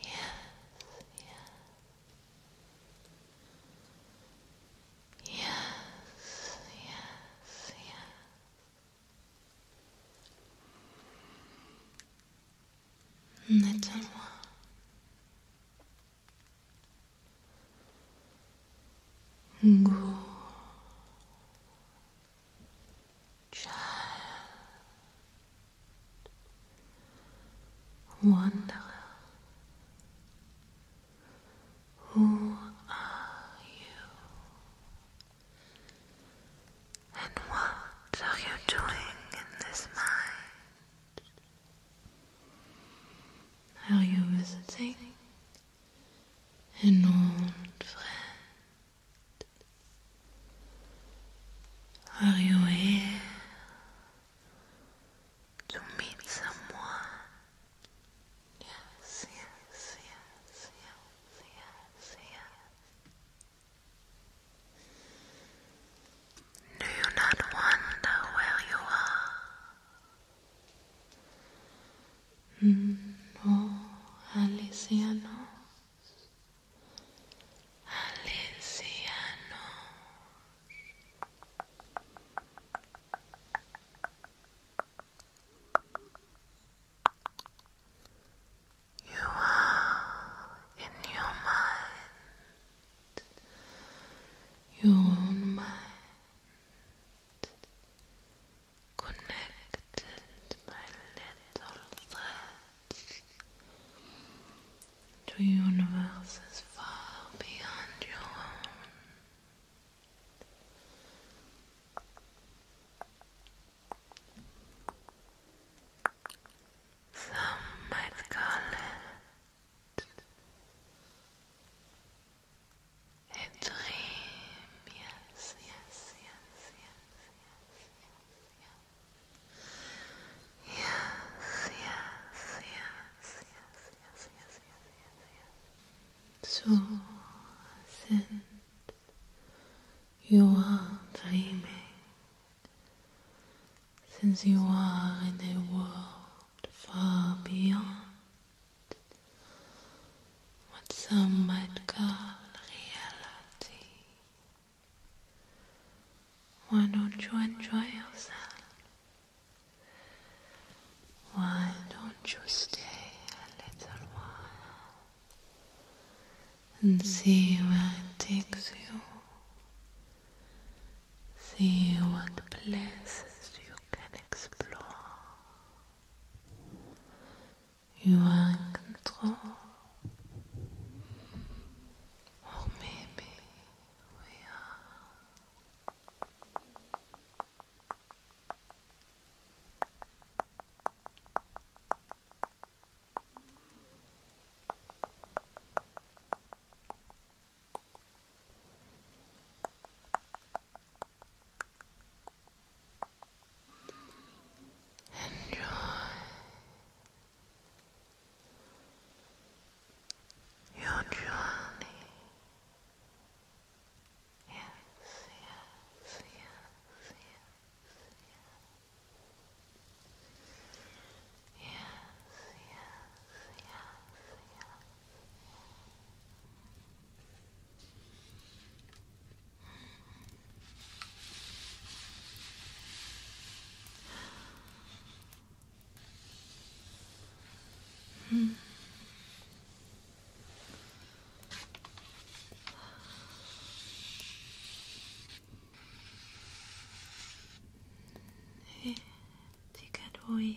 Yes, yes, yes. Yes, yes, yes. That's Good child, wanderer, who are you? And what are you doing in this mind? Are you visiting? An old friend. Are you here to meet someone? Yes, yes, yes, yes, yes, yes. Do you not wonder where you are? Mm, oh, no, alisianos, alisianos. You are in your mind, your mind connected my little threads to universes far beyond your own. Some might call it you are dreaming, since you are in a world far beyond what some might call reality. Why don't you enjoy yourself? Why don't you stay a little while and see where it takes you? See what place you can explore. You are in control. Or maybe we are. Enjoy your journey. Yes, yes, yes, yes, yes. Yes, yes, yes, yes. Mm. 네, 네가 너의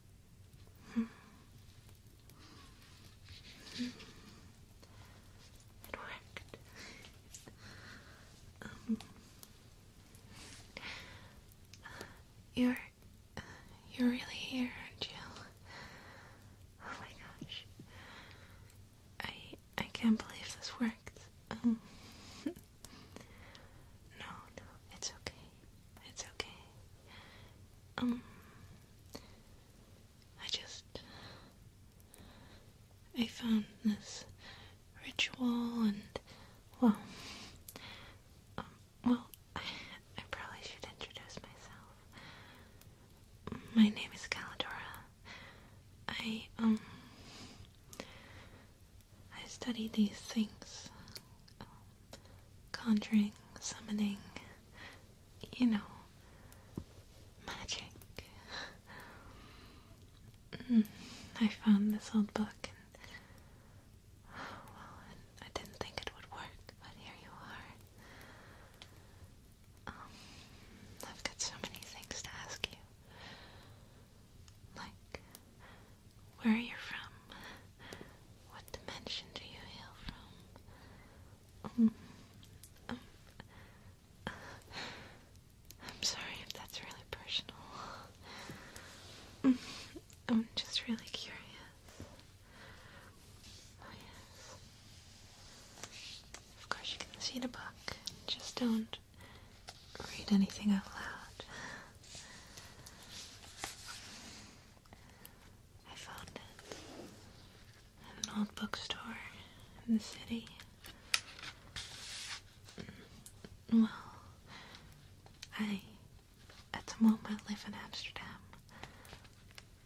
it worked. Um, you're you're really here, aren't you? Oh my gosh. I I can't believe this worked. Um, No, no, it's okay. It's okay. Um, I just. I found this ritual and. Well. Um, well, I probably should introduce myself. My name is Calidora. I, um. I study these things conjuring, summoning, you know, magic. Mm, I found this old book oh, and, I didn't think it would work, but here you are. Um, I've got so many things to ask you. Like, where you from? What dimension do you hail from? Um, um, I'm sorry if that's really personal. Mm, I'm just really curious. Oh, of course, you can see the book, just don't read anything out loud. I found it at an old bookstore in the city. Mm, well, I at the moment live in Amsterdam.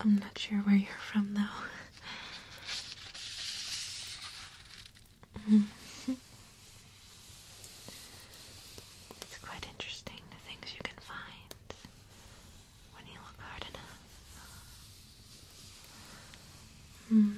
I'm not sure where you're from though. Mm. It's quite interesting the things you can find when you look hard enough. Hmm.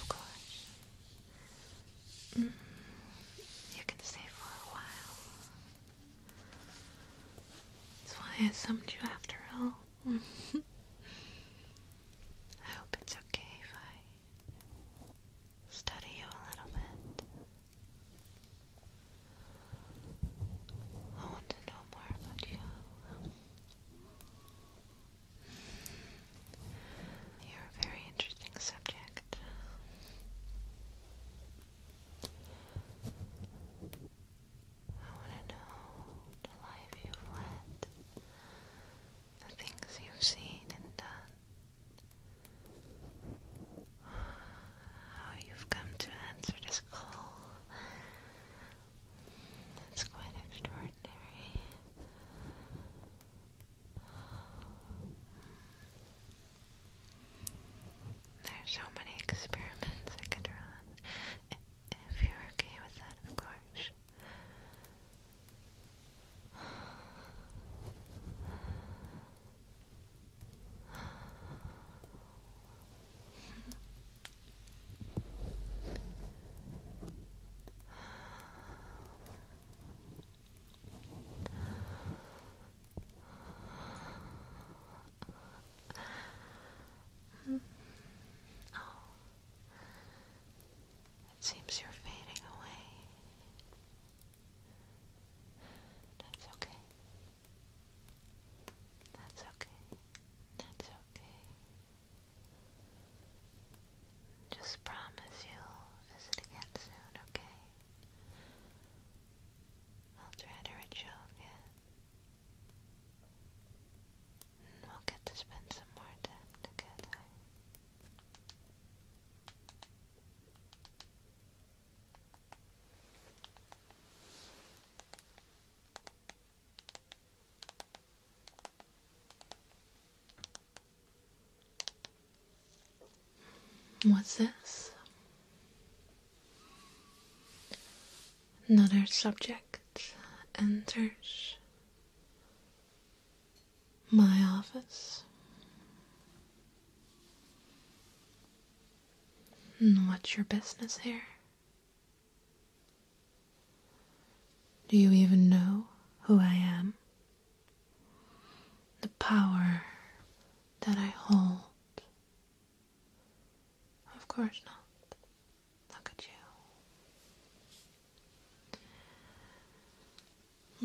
Of course. Mm-hmm. You can stay for a while. That's why I summoned you after all. I hope it's okay if I study you a little bit. I want to know more about you. You're a very interesting subject. I want to know the life you've led, the things you've seen and done, how you've come to answer this call. That's quite extraordinary. There's so many experiments I could run. If you're okay with that, of course. It seems you're fading away. That's okay. That's okay. That's okay. Just promise you'll visit again soon, okay? I'll try to reach out again. And we'll get to spend some more time together. What's this? Another subject enters my office. what's your business here? Do you even know who I am? The power that I hold? Of course not. Look at you.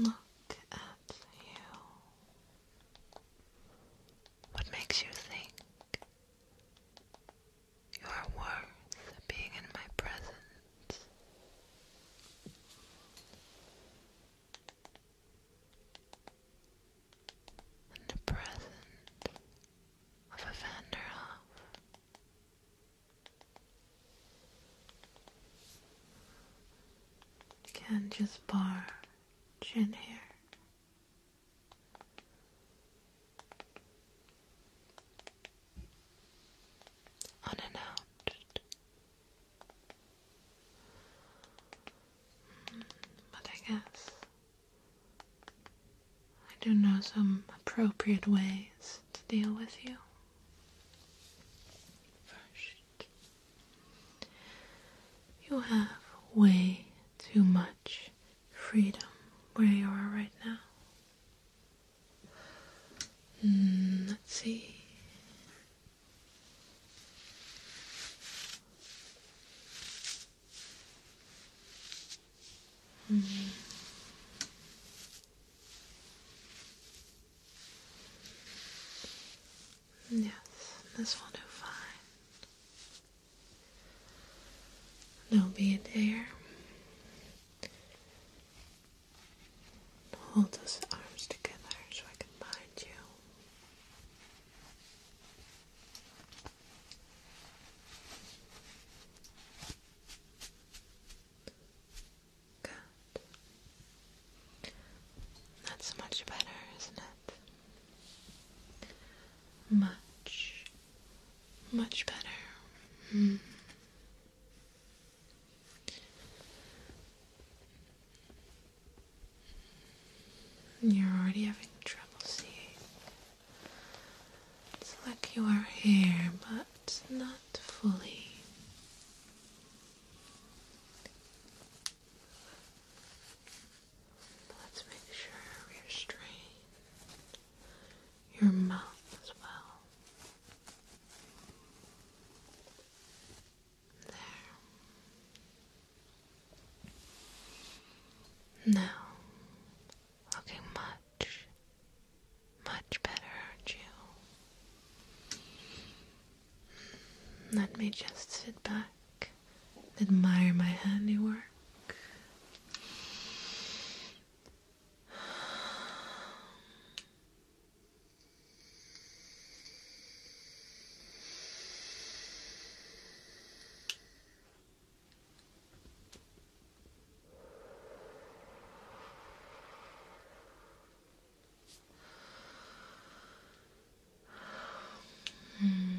Look at you. What makes you think you are worth being in my presence. And the present of a Vanderhoff. can just barge in here. Unannounced. Hmm, but I guess I do know some appropriate ways to deal with you. you have way too much freedom where you are right now. Hmm, let's see. Hmm. Yes, this will do fine a little bit there. Hold those arms together so I can bind you. Good. That's much better, isn't it? Much, much better. Hmm. You're already having trouble seeing. It's like you are here, but not fully. Let's make sure we're straight. Your mouth as well. There. Now, looking much, much better, aren't you? Let me just sit back admire my handiwork. Hmm.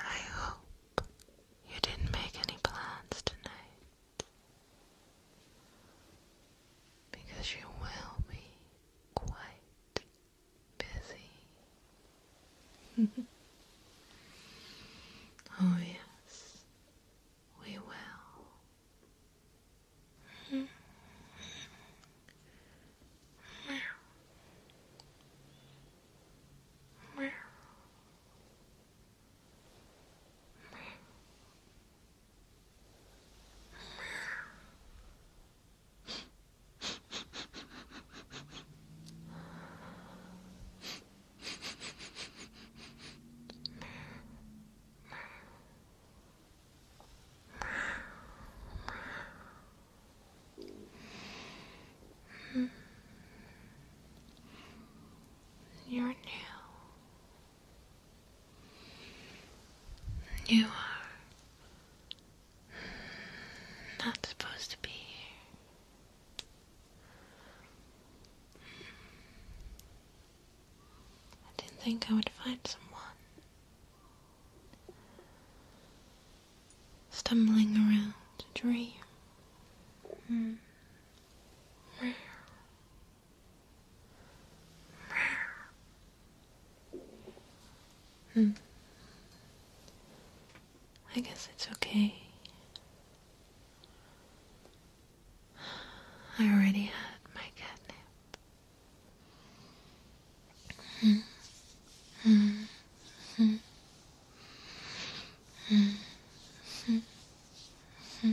I hope you didn't make any plans tonight because you will be quite busy. oh, yes, we will. Meow. Meow. You're new. You are not supposed to be here. I didn't think I would find someone stumbling around a dream. Hmm. Rare. Hmm. I guess it's okay. I already had my catnip. Hmm. Hmm. Hmm. Hmm. Hmm. hmm.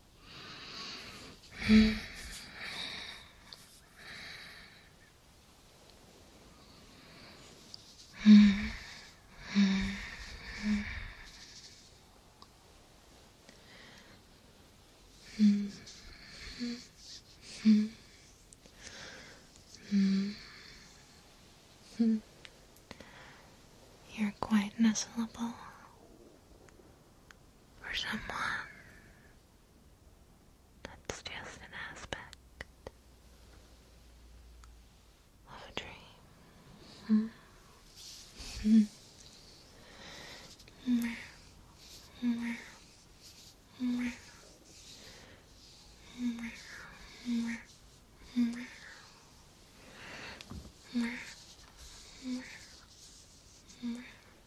You're quite nuzzleable for someone that's just an aspect of a dream.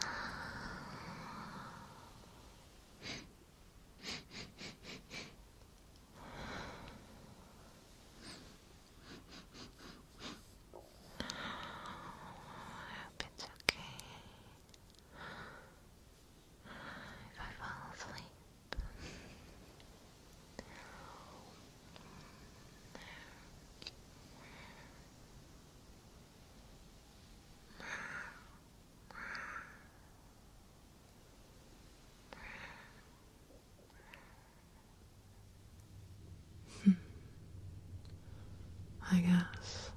hope it's okay if I fall asleep. Hmm. I guess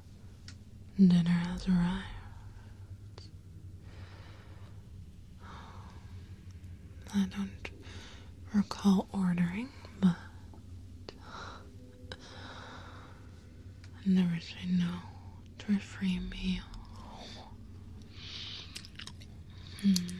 dinner has arrived. I don't recall ordering, but I never say no to a free meal. Hmm.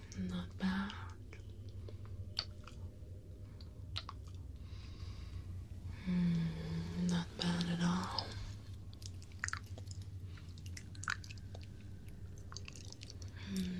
Not bad. Hmm, not bad at all. Hmm.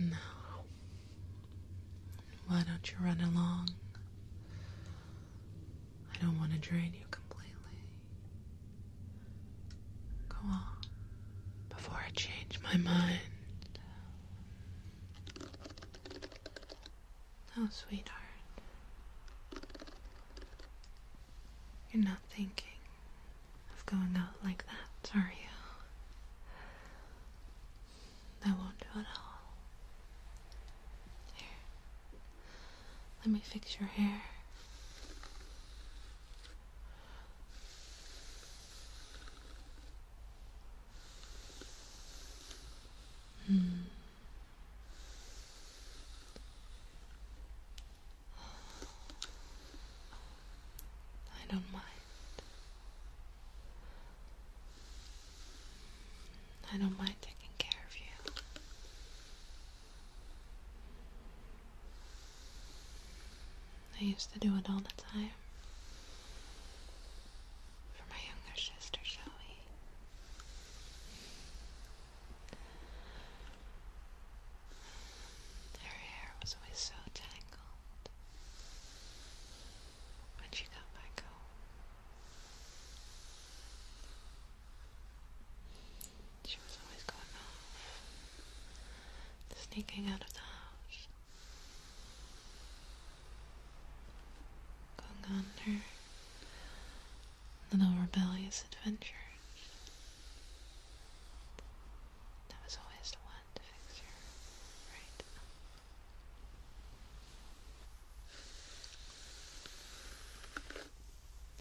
Mm. why don't you run along? I don't want to drain you completely. Go on, before I change my mind. Oh, sweetheart. You're not thinking of going out like that, are you? That won't do at all. Here. Let me fix your hair. Hmm. I don't mind. I don't mind taking care of you. I used to do it all the time for my younger sister, shall we? Her hair was always so tangled when she got back home. She was always going off, sneaking out of the house going on her little rebellious adventure. That was always the one to fix your right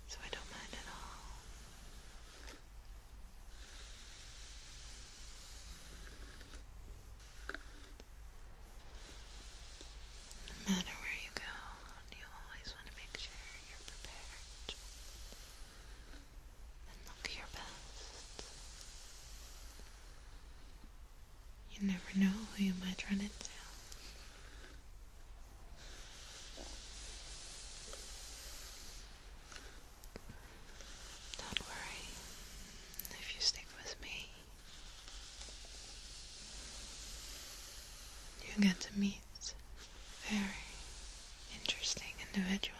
So I don't mind at all. No matter where you go, you always want to make sure you're prepared and look your best. You never know who you might run into. Don't worry if you stick with me. You get to meet very interesting individuals.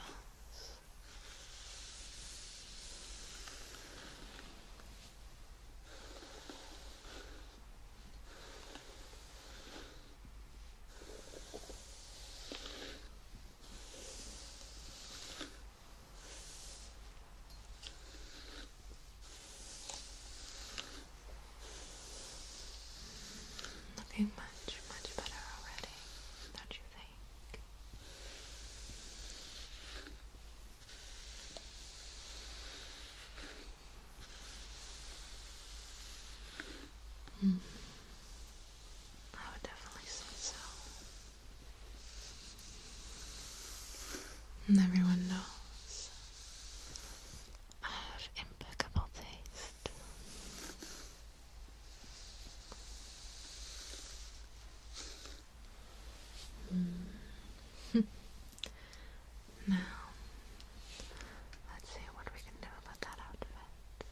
Looking much, much better already, don't you think? Mm. I would definitely say so. And everyone knows I have impeccable taste. Hmm. now, let's see what we can do about that outfit.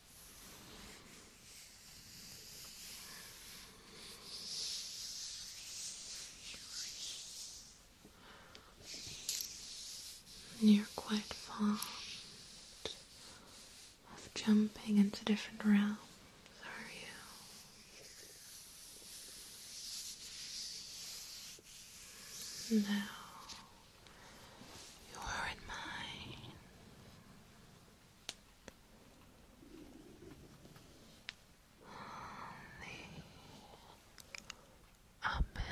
You're quite fond of jumping into different realms, are you? Now you are in mine the abyss.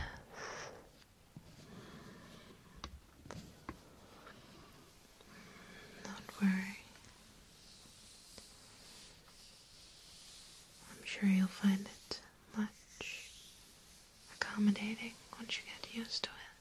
not worry. I'm sure you'll find it much accommodating once you get used to it.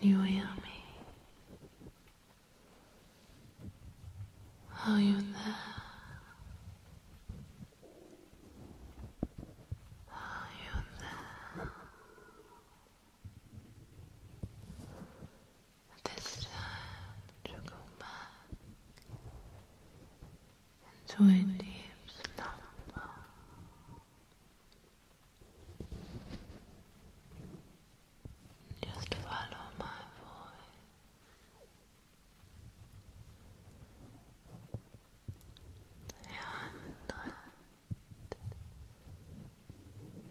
Can you hear me? Are you there? Are you there? This time to go back into a deep slumber. Just follow my voice. Yeah, Ninety-nine,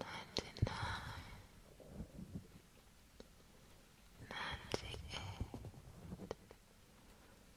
ninety-eight,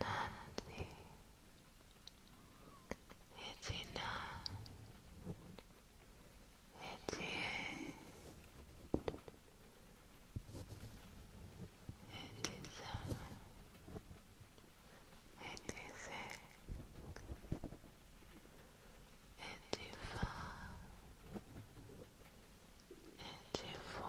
Nancy, it's enough. It's It is all. is it. It is far.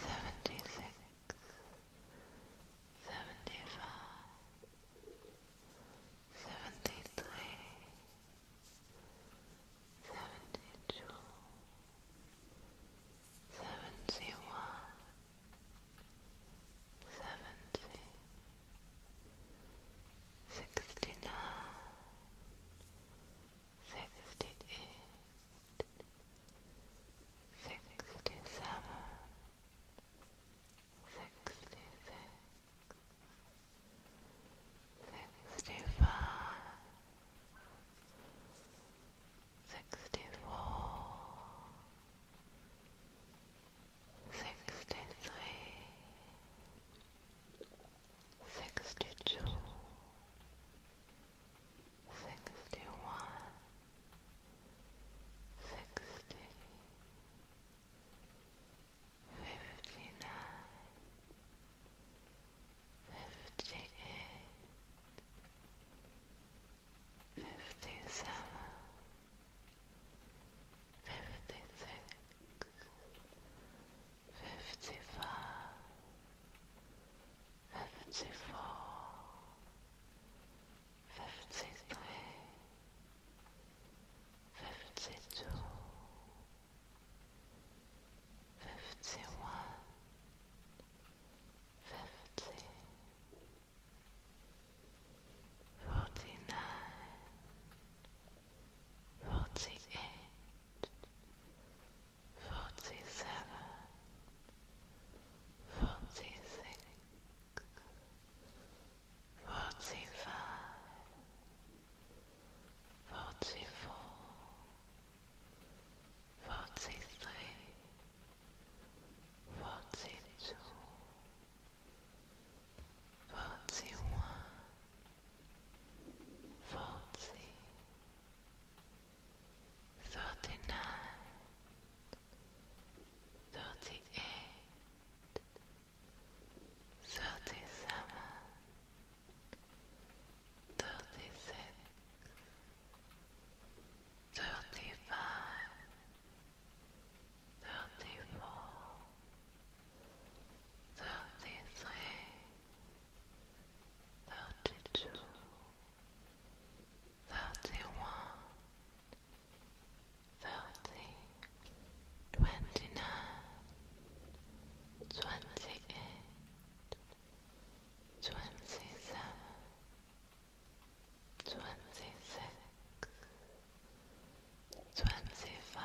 seventy six, seventy five, seventy three, seventy two, seventy one, seventy, sixty nine. 69 68 69 70 sixty-eight, sixty-seven, sixty-six, sixty-five, sixty-four, sixty-three. 63 sixty-two, sixty-one, sixty, fifty-nine, fifty-eight, fifty-seven, Fifty six, fifty-five, fifty-four, fifty-three, fifty-two, fifty-one, fifty, forty-nine, forty-eight forty seven, forty six, forty five, forty four, forty three, forty two, forty one forty, thirty-nine, thirty-eight, thirty-seven, thirty-six, thirty-five, thirty-four, thirty-three. 34 35 36 37 38 39 40 thirty-two, thirty-one, thirty, twenty-nine, twenty-eight, twenty-seven, twenty-six, twenty-five. 24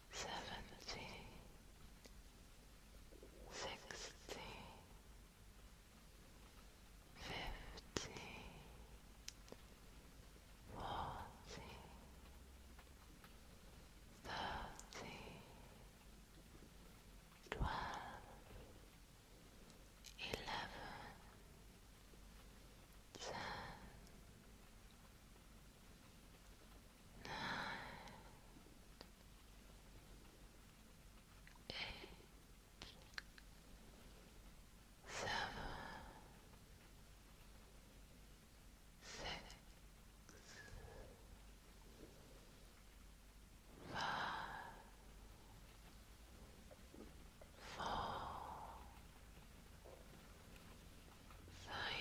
seventeen, sixteen, fifteen, fourteen, thirteen, twelve, eleven, ten nine, eight, seven, six, five, four, three,